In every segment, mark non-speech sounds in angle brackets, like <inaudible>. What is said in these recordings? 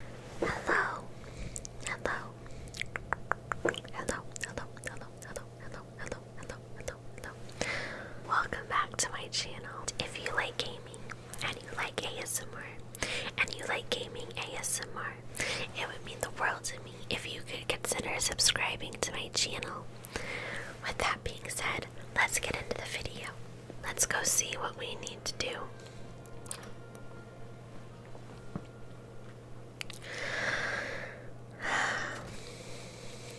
Hello, hello, hello, hello, hello, hello, hello, hello, hello, hello, hello. Welcome back to my channel. If you like gaming and you like ASMR and you like gaming ASMR, it would mean the world to me if you could consider subscribing to my channel. With that being said, let's get into the video. Let's go see what we need to do. <sighs>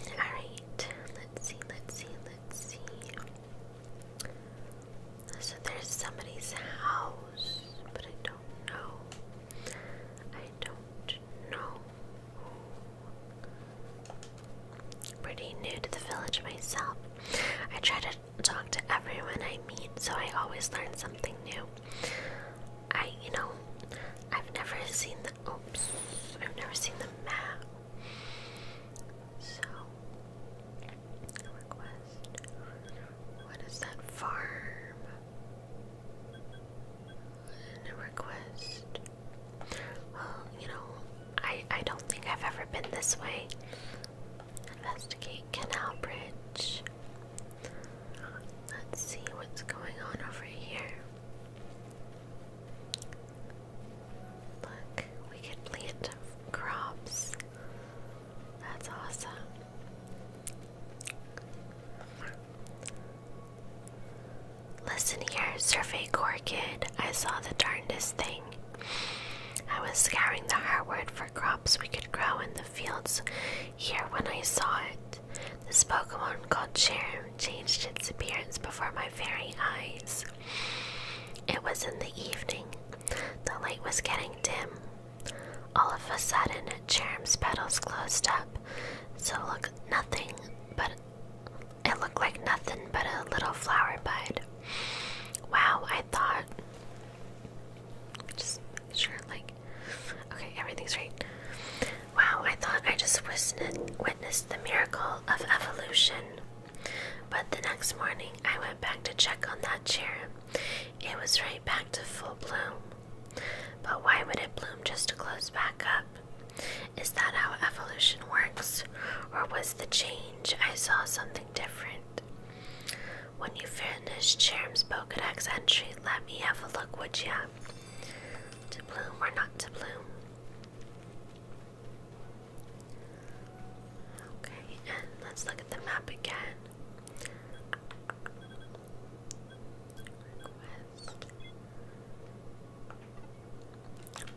Alright, let's see, let's see, let's see. So there's somebody's house, but I don't know. I don't know. Pretty new to the village myself. I try to talk to everyone I meet, so I always learn something new. I, you know, I've never seen the oops, I've never seen the map. So, request. What is that farm? And request. Well, you know, I I don't think I've ever been this way. Investigate Canal Bridge. Let's see what's going on over here. Look, we can plant crops. That's awesome. Listen here, Survey Corps kid. I saw the darndest thing. I was scouring the hardwood for crops we could grow in the fields here when I saw it. This Pokemon called Charm changed its appearance before my very eyes. It was in the evening. The light was getting dim. All of a sudden, Charm's petals closed up, so look nothing but it looked like nothing but a little flower bud. Wow, I I thought. Just sure, like, okay, everything's right. Wow, I thought I just witnessed the miracle of evolution. But the next morning, I went back to check on that chair. It was right back to full bloom. But why would it bloom just to close back up? Is that how evolution works? Or was the change I saw something different? When you finish Cherum's Pokedex entry, let me have a look, would ya? To bloom or not to bloom? Okay, let's look at the map again.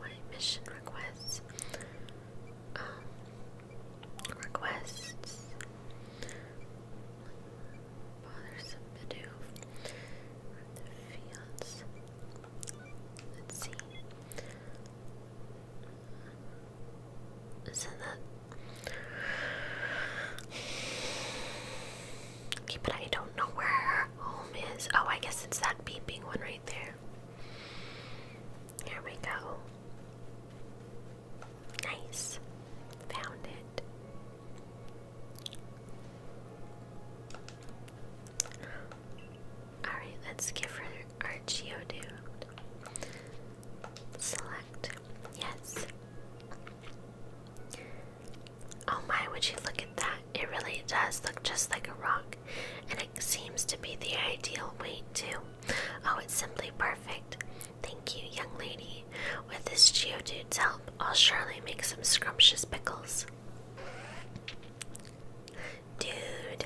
My mission requests um, requests. Bothersome to do. The Let's see. is that? Okay, but I don't know where home is. Oh, I guess it's that beeping one right there. Here we go. Nice. Found it. Alright, let's give her our Geodude. Select. Yes. Oh my, would you look at that? It really does look just like a rock, and it seems to be the ideal weight, too. Oh, it's simply perfect. Thank you, young lady. With this Geodude's help, I'll surely make some scrumptious pickles. Dude.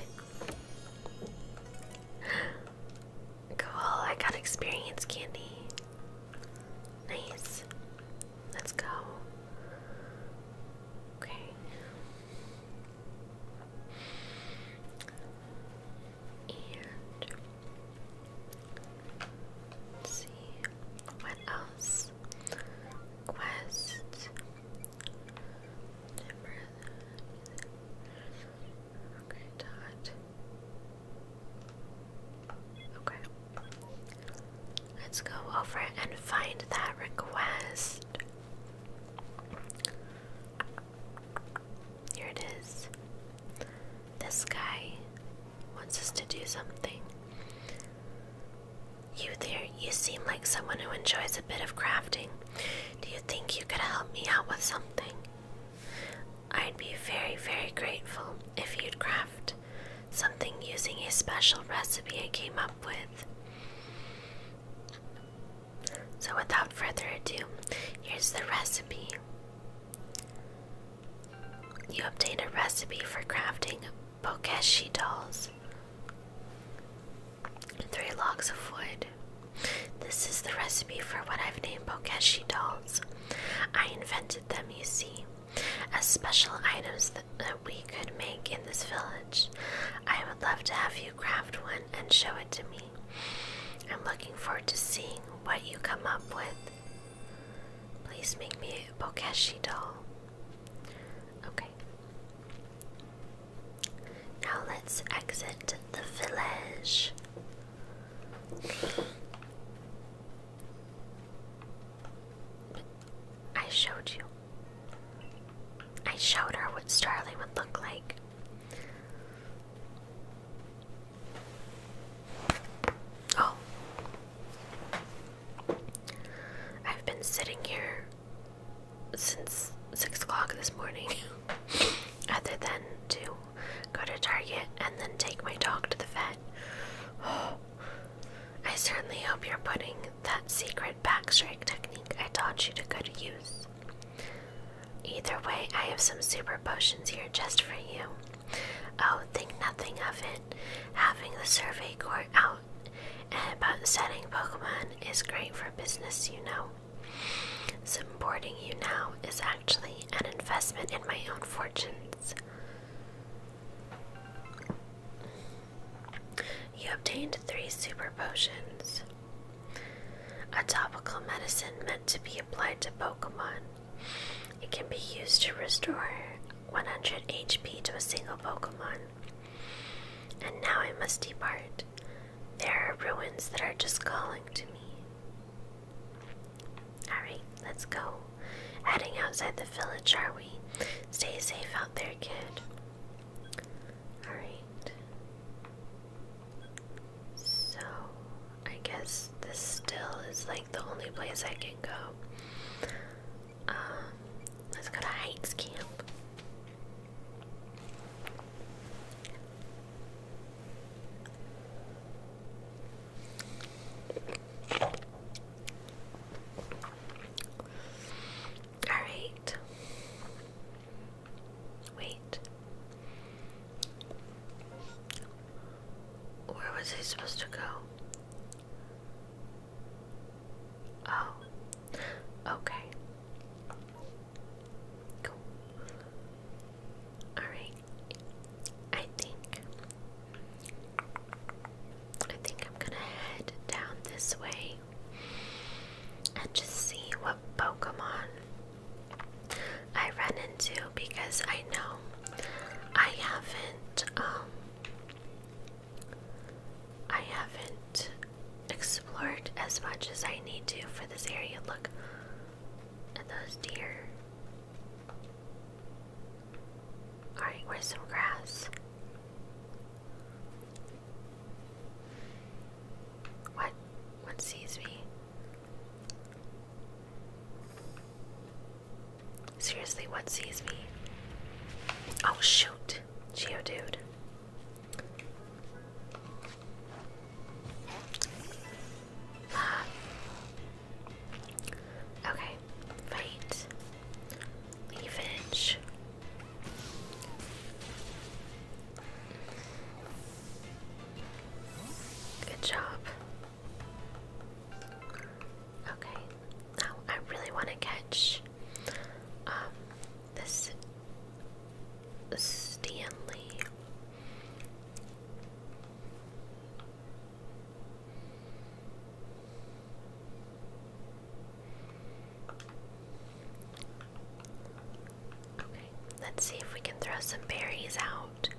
Cool, I got experience candy. Nice. Let's go. Okay. And let's see what else. Quest. Okay, dot. Okay. Let's go over and find that request. Here it is. This guy wants us to do something. You there, you seem like someone who enjoys a bit of crafting. Do you think you could help me out with something? I'd be very, very grateful if you'd craft something using a special recipe I came up with. So, without further ado, here's the recipe. You obtain a recipe for crafting Bokeshi dolls. Three logs of wood. This is the recipe for what I've named Bokeshi dolls. I invented them, you see, as special items that we could make in this village. I would love to have you craft one and show it to me. I'm looking forward to seeing what you come up with. Please make me a Bokeshi doll. Okay. Now let's exit the village. I showed you. I showed her what Starling would look like. Oh. I've been sitting here since six o'clock this morning, <laughs> other than to go to Target and then take my dog to the vet. <sighs> I certainly hope you're putting that secret backstrike technique I taught you to good use. Either way, I have some super potions here just for you. Oh, think nothing of it. Having the survey court out and about setting Pokemon is great for business, you know. Supporting you now is actually an investment in my own fortunes. You obtained three super potions. A topical medicine meant to be applied to Pokemon. It can be used to restore 100 HP to a single Pokemon. And now I must depart. There are ruins that are just calling to me. Alright, let's go. Heading outside the village, are we? Stay safe out there, kid. Alright. So, I guess this still is like the only place I can go. Um, let's go to Heights Camp. Alright. Wait. Where was he supposed to go? Oh. Okay. Cool. Alright. I think I think I'm gonna head down this way and just see what Pokemon I run into because I know I haven't um, I haven't explored as much as I need to for this area. Look at those deer. Alright, where's some grass? What? One sees me? Seriously, what sees me? Oh shoot, Geo dude. Ah. Okay, fight. Leafage. Good job. Okay, now I really want to catch um, this Stanley. Okay, let's see if we can throw some berries out.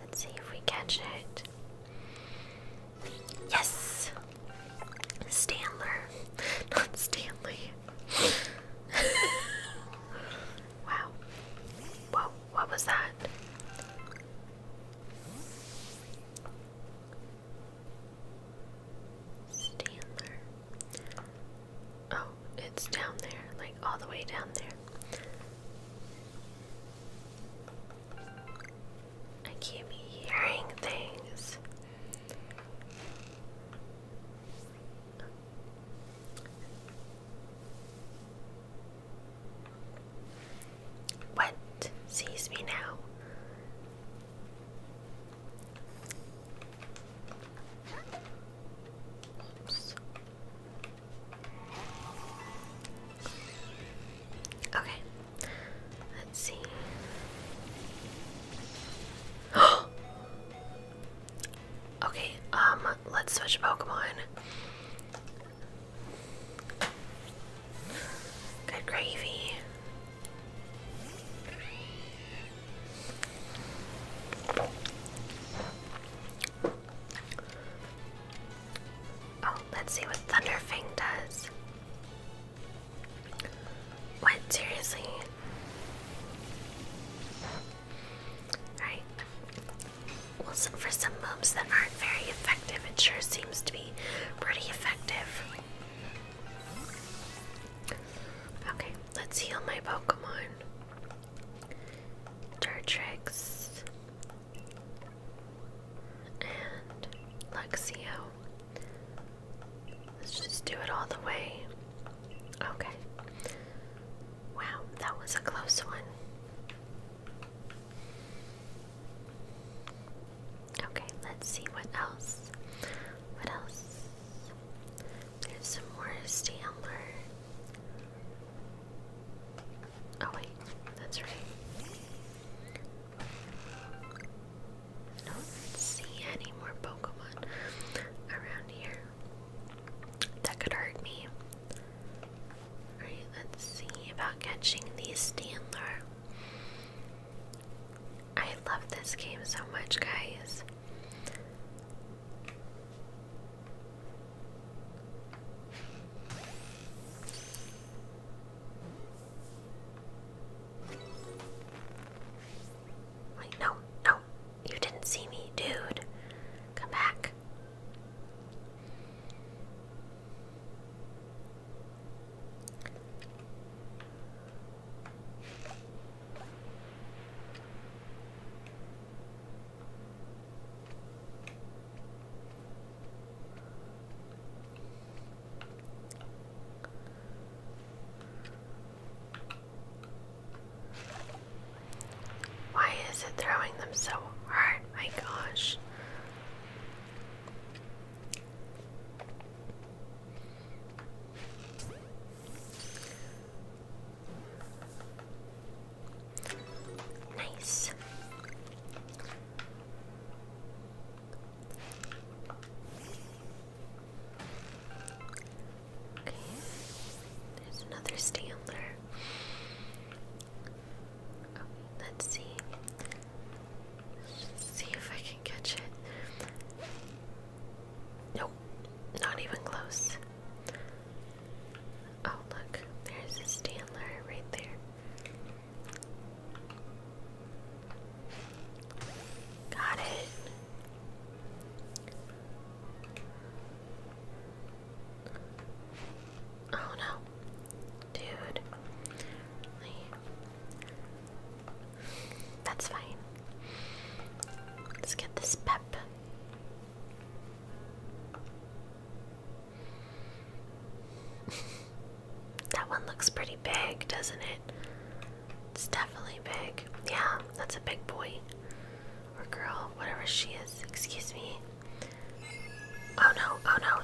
Let's see if we catch it. Yes! Stanler. Not Stanley. <laughs> wow. Whoa, what was that? Stanler. Oh, it's down there, like all the way down there. I keep hearing things. What sees me now? Okay, Let's see. <gasps> okay, um, let's switch Pokemon. Good gravy. Oh, let's see what Thunderfang does. What? Seriously? Alright. Well, for some moves that aren't very effective, it sure seems to be pretty effective. Okay, let's heal my Pokemon. Dartrix and Luxio. Let's just do it all the way. Okay. Wow, that was a close one. Okay, let's see what else. What else? There's some more Stampler. Oh wait, that's right don't see any more Pokemon around here. That could hurt me. Alright, let's see about catching these Standler. I love this game so much, guys no, no. You didn't see me, dude. Come back. Why is it throwing them so hard? My gosh. Nice. Okay, there's another Standler. let's see. see if I can catch it. Nope, not even close. Oh, look, there's a Standler right there. Got it. Oh no. Dude. That's fine. Let's get this pep. <laughs> that one looks pretty big, doesn't it? It's definitely big. Yeah, that's a big boy. Or girl, whatever she is. Excuse me. Oh no, oh no.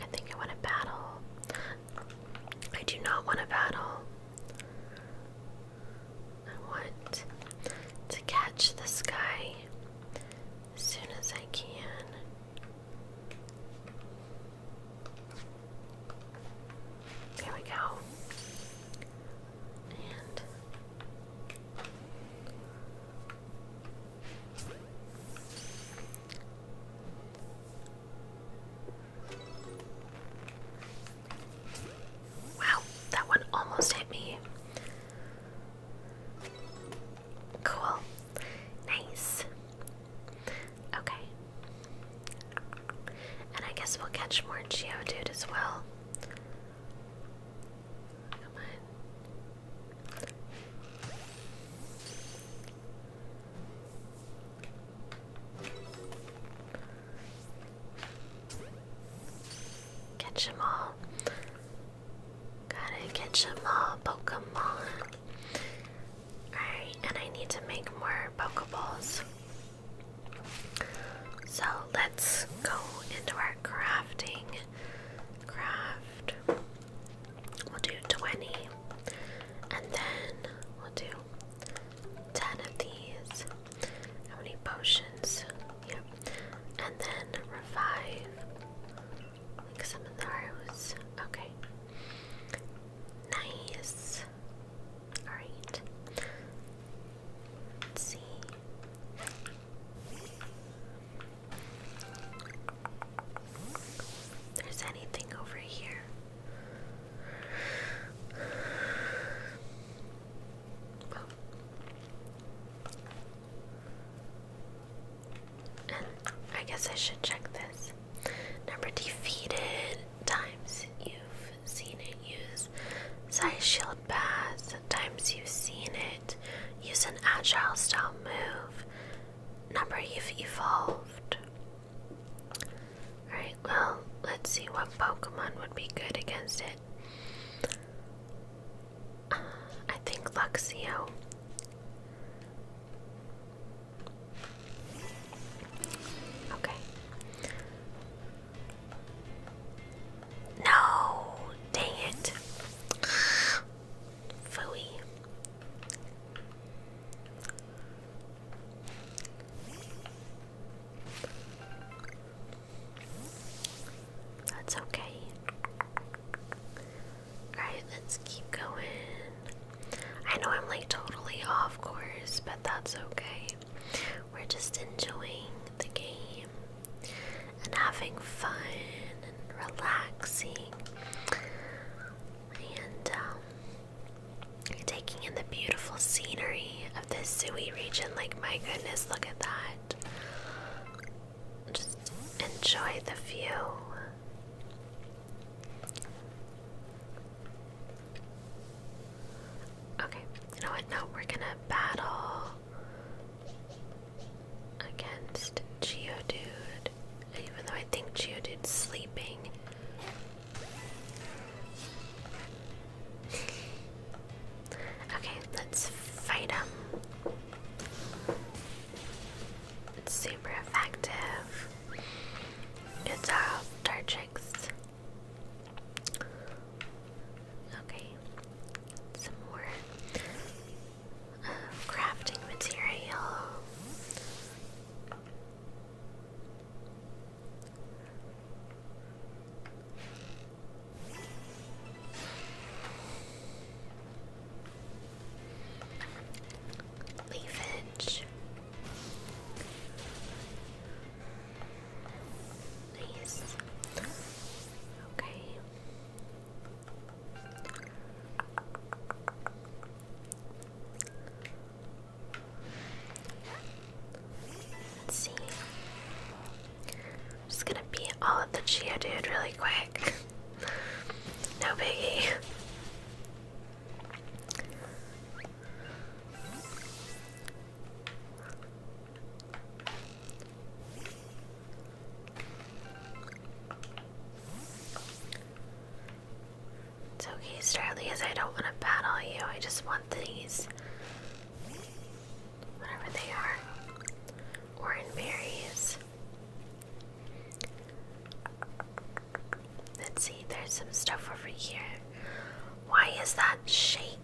I think I want to battle. I do not want to battle. I want to catch this guy as soon as I can. There we go. And Wow, that one almost hit me. Cool. Nice. Okay. And I guess we'll catch more Geodude as well. Come on. Catch them all. Gotta catch them all, Pokemon. Alright, and I need to make more Pokeballs. So let's go into our crafting. Craft. We'll do 20. And then we'll do 10 of these. How many potions? Yep. And then revive. Like some of those. Okay. Nice. Alright. see. There's anything over here. I guess I should check this. Number defeated times you've seen it use size shield pass. Times you've seen it use an agile style move. Number you've evolved. Alright, well, let's see what Pokemon would be good against it. Uh, I think Luxio. Okay. No! Dang it! Phooey. That's okay. Alright, let's keep going. I know I'm like totally off course, but that's okay. We're just enjoying the game and having fun and relaxing. And um, Taking in the beautiful scenery of this Sui region, like my goodness, look at that. Just enjoy the view. Okay, you know what? Now we're gonna battle against Geodude. Even though I think Geo Geodude's sleeping. <laughs> okay, let's fight him. super effective. Good job, uh, Dartrix. Okay, some more uh, crafting material. Leafage. Nice. Okay. Let's see. just gonna beat all of the chia dude really quick. <laughs> no biggie. It's okay, Starlies. I don't want to battle you. I just want these. Whatever they are. Orange berries. Let's see, there's some stuff over here. Why is that shaking?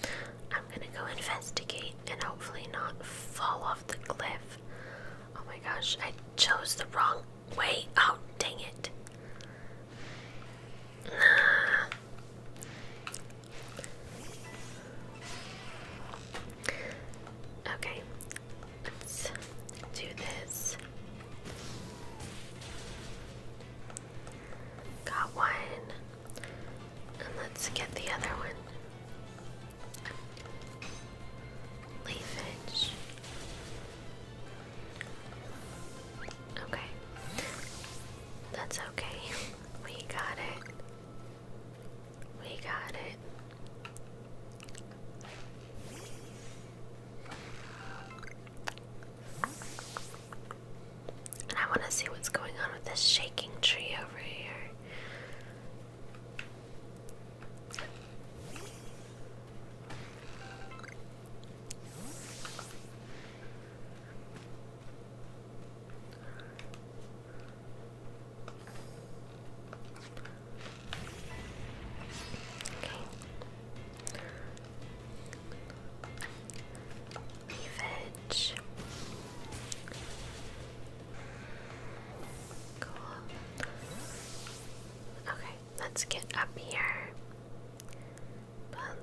I'm gonna go investigate and hopefully not fall off the cliff. Oh my gosh, I chose the wrong Wait, oh, dang it. Okay, let's do this. Got one, and let's get the other one leafage. Okay. That's okay. <laughs> We got it. We got it. And I want to see what's going on with this shaking tree over here. Leafage. Cool. Okay. Let's get up here.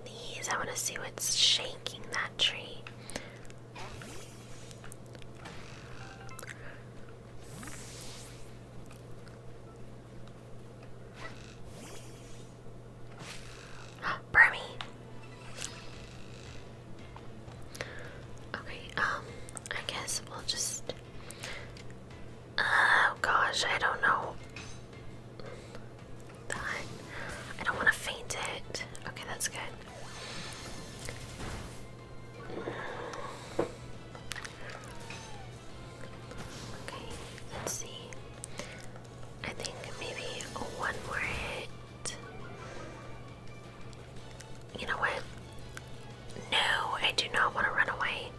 Please, I want to see what's shaking that tree. <gasps> Burmy. Okay, um, I guess we'll just Oh gosh, I don't know. I don't want to faint it. Okay, that's good. Okay, let's see. I think maybe one more hit. You know what? No, I do not want to run away.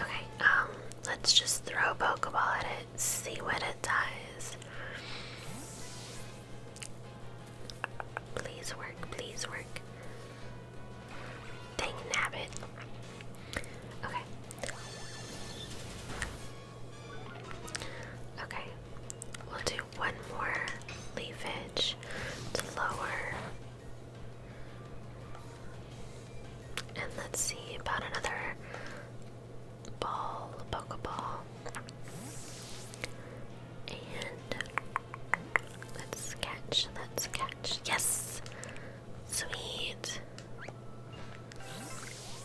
Okay, um, let's just throw a Pokeball at it, see what it does. Please work, please work. Dang nabbit. Okay. Okay, we'll do one more leafage to lower and let's see about another ball, pokeball. And let's catch, let's catch. Yes! Sweet.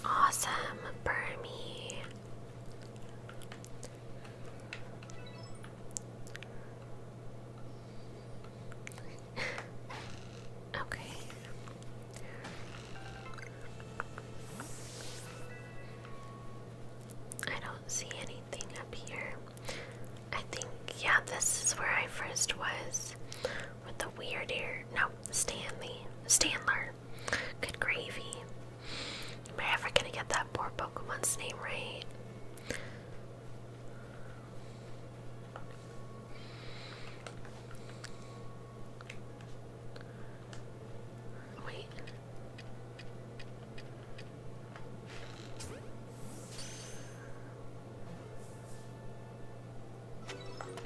Awesome, Burmy okay. I don't see anything up here. I think, yeah, this is where I first was with the weird ear. No, Stanley. Standler. Good gravy. Am I ever gonna get that poor Pokemon's name right? Wait.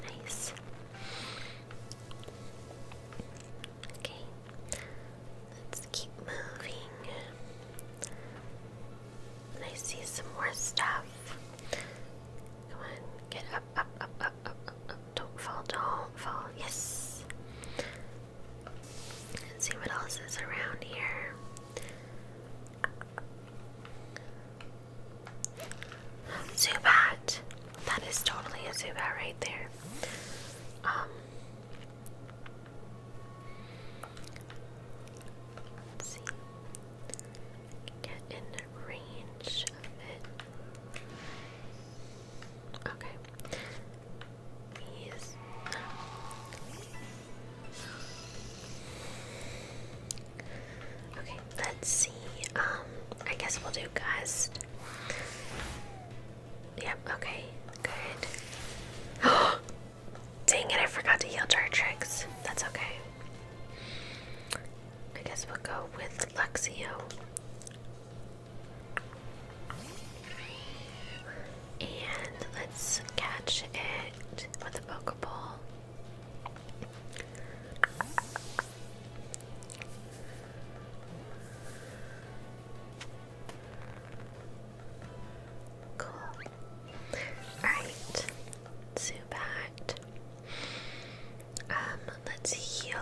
Nice. Okay. Let's keep moving. I see some more stuff. Come on, get up, up, up, up, up, up, Don't fall, don't fall. Yes. see what else is around here. Zubat. That is totally a Zubat right there. Um, Let's see. Get in range of it. Okay. He's Okay, let's see. Um, I guess we'll do Gust. Yep, okay, good. <gasps> Oh, Dang it, I forgot to heal Dartrix. That's okay. I guess we'll go with Luxio. And let's catch it with a Pokeball. Cool. Alright. Zubat. Um, let's heal.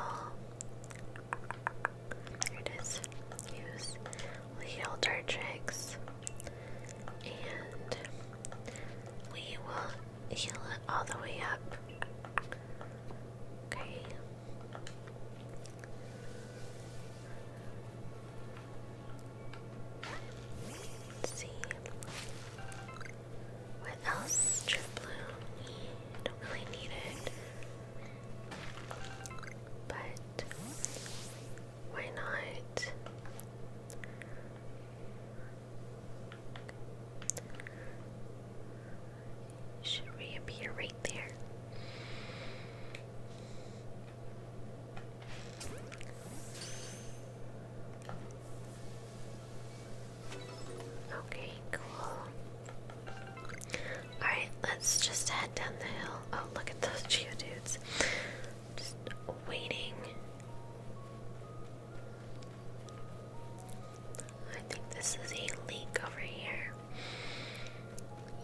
Here it is. Use. heal Dartrix. And we will heal it all the way up. Okay see. What else should don't really need it. But why not? Should reappear right there. Okay, cool. Alright, let's just head down the hill. Oh, look at those <laughs> geodudes. Just waiting. I think this is a leak over here.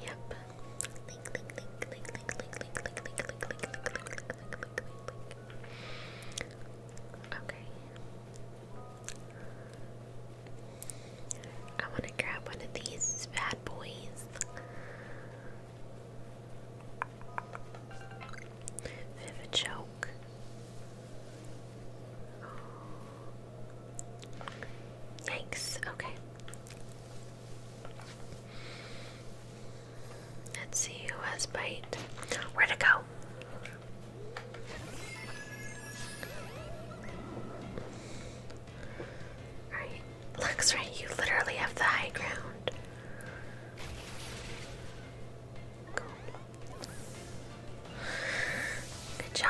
Yep, Okay. I want to grab one of these bad boys. Vivid choke. Thanks. Okay. Let's see who has bite. Where to go? Alright, looks right, you literally have the high ground. Good job.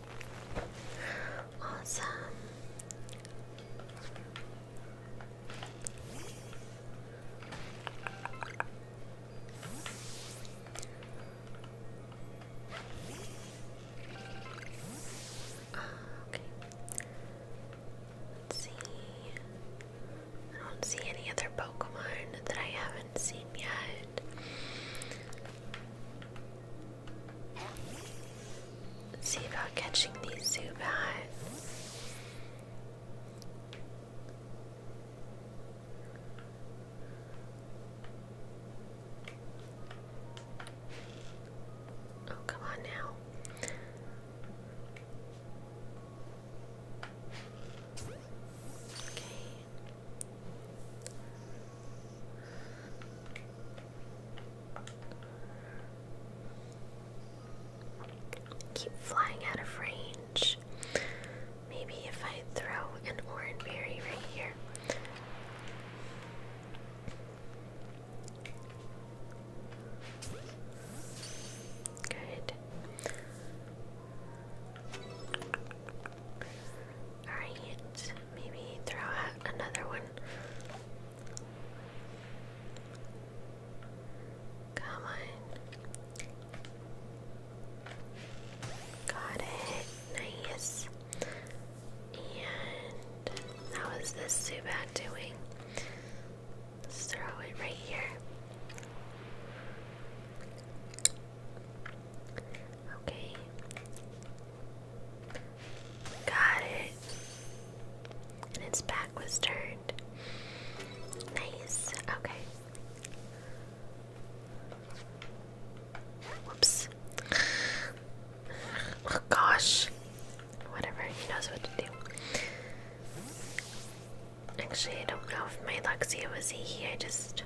Awesome. Okay. Let's see. I don't see any other Pokemon that I haven't seen yet see about catching these Zubats. Oh, come on now. Okay. Keep flying out of range. Maybe if I throw an orange berry right here. Good. Alright, maybe throw out another one. Come on. Got it. Nice. And how is this Zubat doing? Let's throw it right here. Okay. Got it. And its back was turned. Nice. Okay. Whoops. Oh gosh. Whatever, he knows what to do. Actually, I don't know if my Luxia was he. I just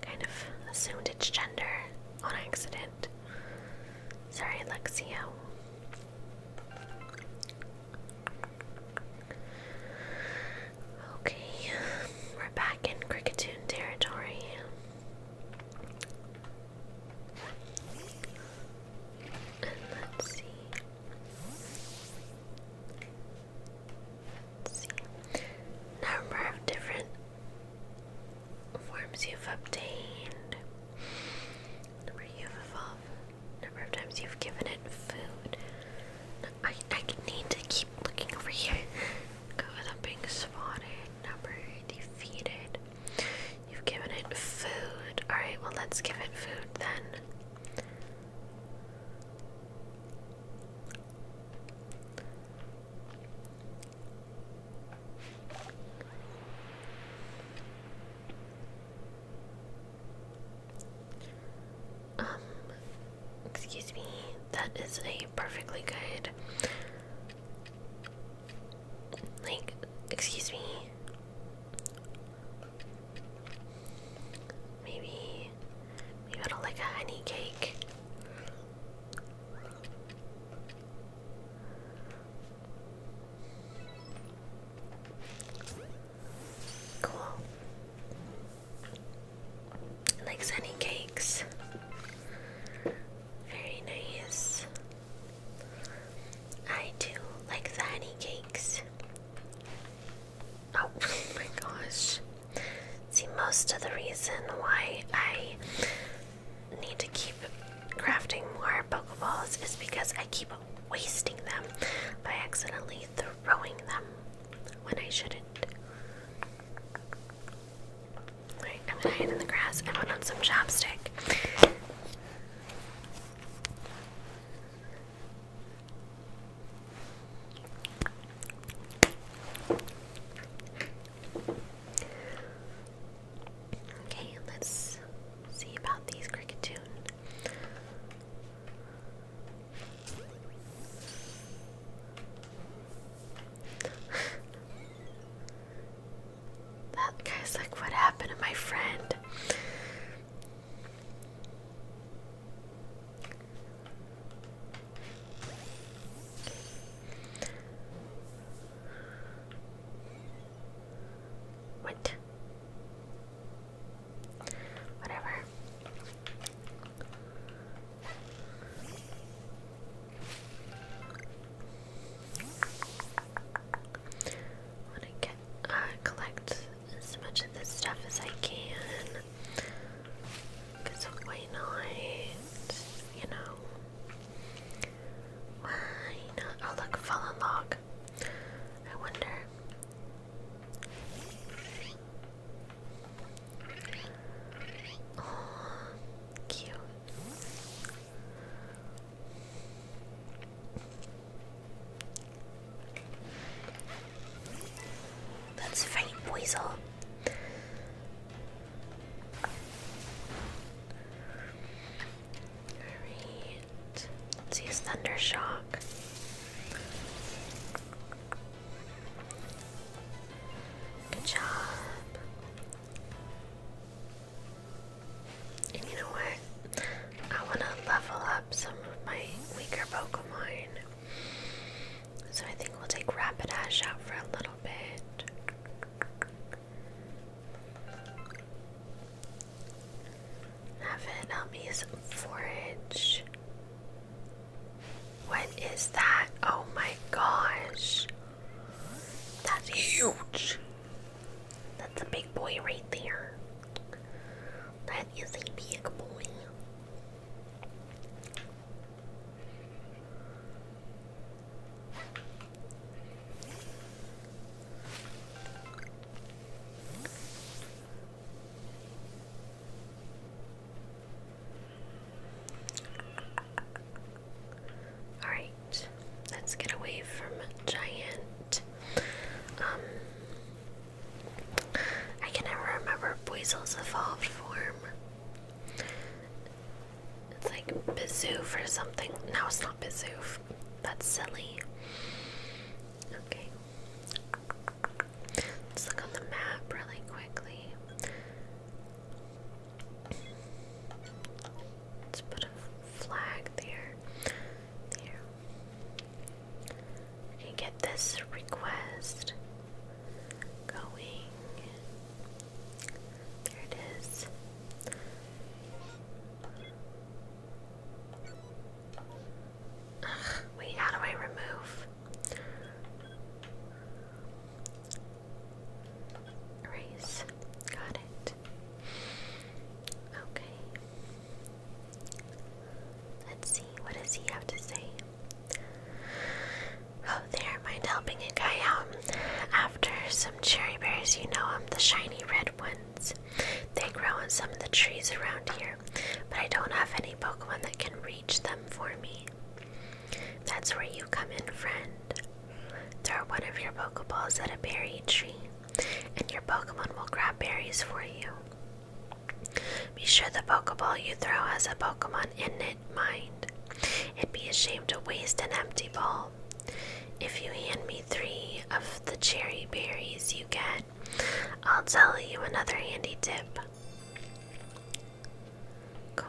kind of assumed its gender on accident. Sorry, Lexio. Okay, we're back in Cricketoon territory. And let's see. Let's see. Number of different forms you've obtained, number you've evolved, number of times you've given it food. I, I need to keep looking over here. Go without being spotted. Number defeated. You've given it food. Alright, well, let's give it food then. Um, excuse me, that is a perfectly good. Like, excuse me. Maybe, maybe it'll like a honey cake. Cool. Like sunny cakes. Very nice. I do like the honey cakes. Oh <laughs> my gosh. See, most of the reason why I need to keep crafting more Pokeballs is because I keep wasting them by accidentally throwing them when I shouldn't. Alright, I'm going in the grass. I put on some chopstick. Okay, let's see about these cricket that guy's like, what happened to my friend? What? Whatever. I want to get, uh, collect as much of this stuff as I can. Because why not? You know? Why not? Oh, look, fallen log. I wonder. Oh, cute. Let's fight Alright. Let's use Thunder Shock. Good job. And you know what? I want to level up some of my weaker Pokemon. So I think we'll take Rapid Ash out for a little bit. Have it um, forage. What is that? Oh my gosh. That's huge. That's a big boy right there. That is a big boy. All right, let's get away from giant. Um, I can never remember Buizel's evolved form. It's like Bizoof or something. No, it's not Bizoof. That's silly. Okay. Let's look on the map really quickly. Let's put a flag there. There. We get this request going. There it is. wait, how do I remove? Erase. Got it. Okay. Let's see, what does he have to say? Oh, there, mind helping a guy out? After some cherry berries, you know them, the shiny red ones. They grow on some of the trees around here, but I don't have any Pokemon that can reach them for me. That's where you come in, friend. Throw one of your Pokeballs at a berry tree, and your Pokemon will grab berries for you. Be sure the Pokeball you throw has a Pokemon an innate mind. It'd be a shame to waste an empty bowl. If you hand me three of the cherry berries you get, I'll tell you another handy tip. Cool.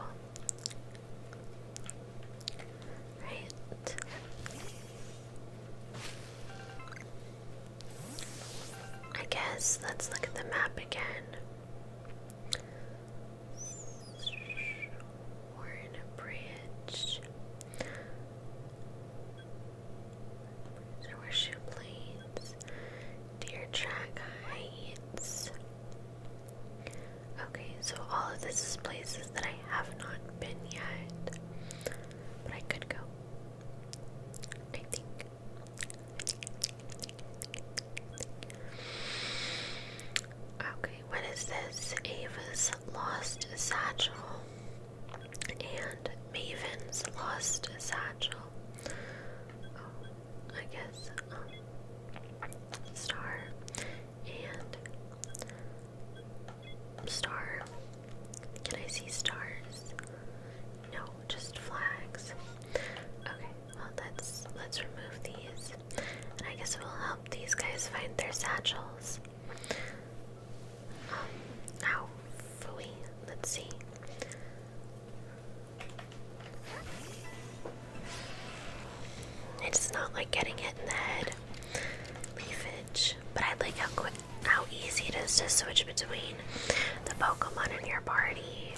Right. I guess let's look at the map again we a bridge. There were shoe blades, deer track heights. Okay, so all of this is places that I have not been yet, but I could go. I think, Okay, what is this? Ava's lost satchel and Maven's lost satchel. Oh, I guess um, Star and Star. Can I see stars? No, just flags. Okay, well let's let's remove these. I guess we'll help these guys find their satchels. Um, ow, Let's see. It's not like getting hit in the head. Leafage. But I like how quick, how easy it is to switch between the Pokemon in your party.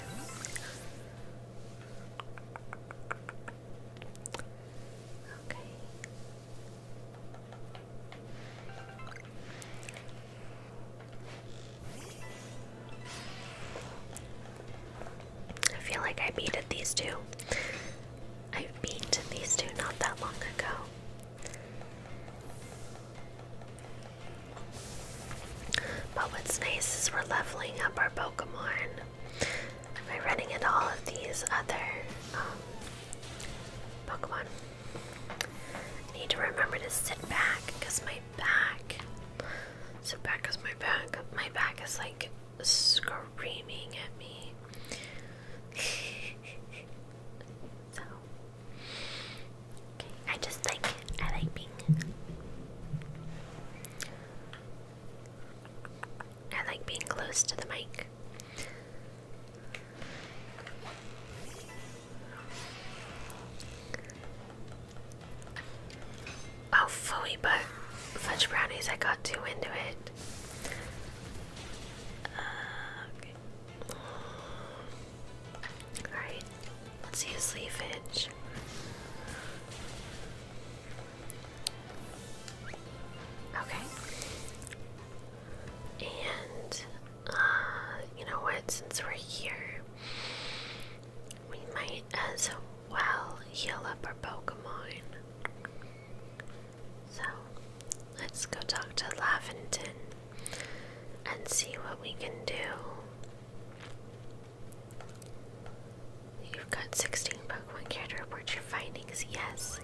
I feel like I beat at these two. I beat these two not that long ago. But what's nice is we're leveling up our Pokemon by running into all of these other um, Pokemon. need to remember to sit back because my back. Sit back because my back. My back is like screaming at me. <laughs> so. Okay, I just like I like being I like being close to the mic. Oh, fooey, but fudge brownies, I got too into it. Uh, Let's use leafage. Okay. And uh, you know what? Since we're here, we might as well heal up our Pokemon. So let's go talk to Laventon and see what we can do. You've got 16 Pokemon care to report your findings, yes.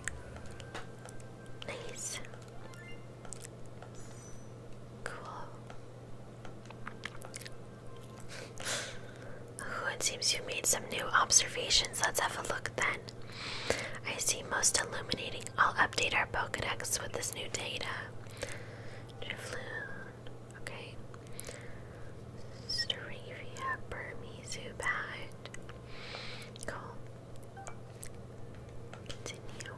Nice. Cool. Oh, it seems you made some new observations. Let's have a look then. I see most illuminating. I'll update our Pokedex with this new data. Drifloon okay? Staravia, Burmese, Cool. Continue.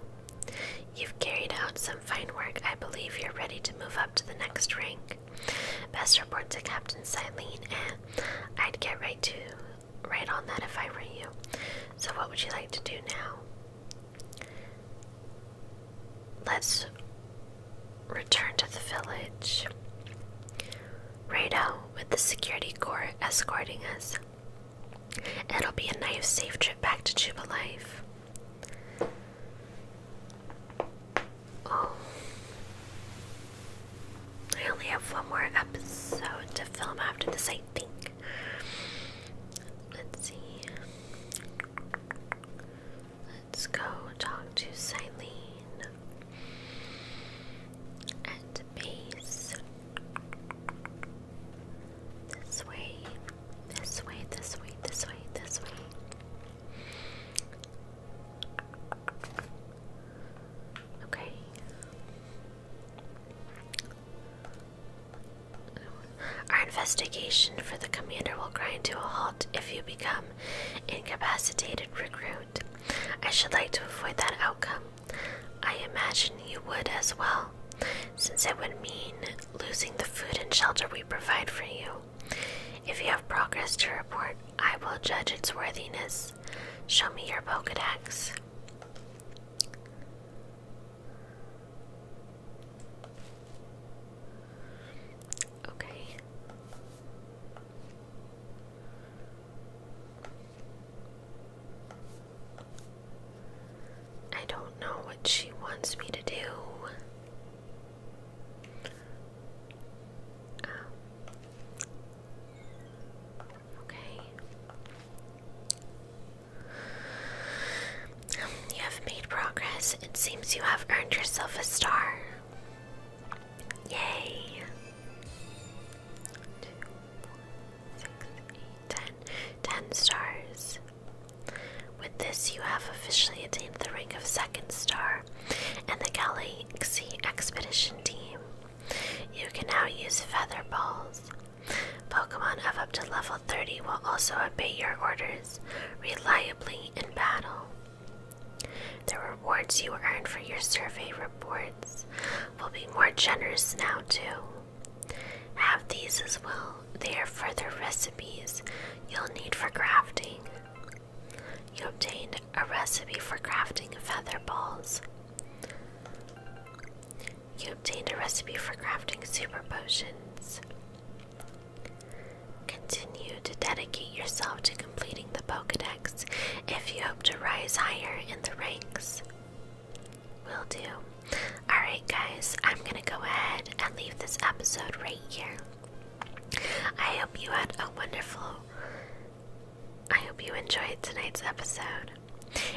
You've carried out some fine work. I believe you're ready to move up to the next rank. Best report to Captain Silene, and I'd get right to right on that if I were you. So what would you like to do now? Let's Return to the village. Rado, with the security corps escorting us. It'll be a nice, safe trip back to Jubilife. Oh, I only have one more episode to film after this, I think. Let's see. Let's go talk to Silene at base. This way, this way, this way, this way, this way. Okay. Our investigation for the commander will grind to a halt if you become incapacitated recruit. I should like to avoid that outcome. I imagine you would as well, since it would mean losing the food and shelter we provide for you. If you have progress to report, I will judge its worthiness. Show me your Pokedex. Okay. I don't know what she wants me to do. Um, okay. You have made progress. It seems you have earned yourself a star. Yay! 10 stars. With this, you have officially attained the rank of second star and the Galaxy Expedition Team. You can now use feather balls. Pokemon of up to level 30 will also obey your orders reliably in battle. The rewards you earn for your survey reports will be more generous now, too. Have these as well, they are further recipes you'll need for crafting. You obtained a recipe for crafting feather balls. You obtained a recipe for crafting super potions. Continue to dedicate yourself to completing the Pokedex if you hope to rise higher in the ranks. Will do. Alright, guys, I'm gonna go ahead and leave this episode right here. I hope you had a wonderful. I hope you enjoyed tonight's episode.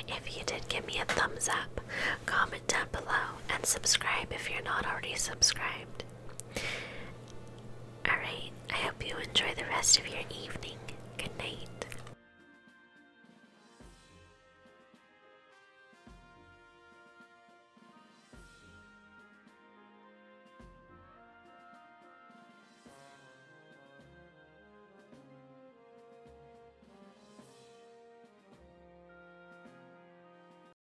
If you did, give me a thumbs up, comment down below, and subscribe if you're not already subscribed. Alright, I hope you enjoy the rest of your evening. Good night.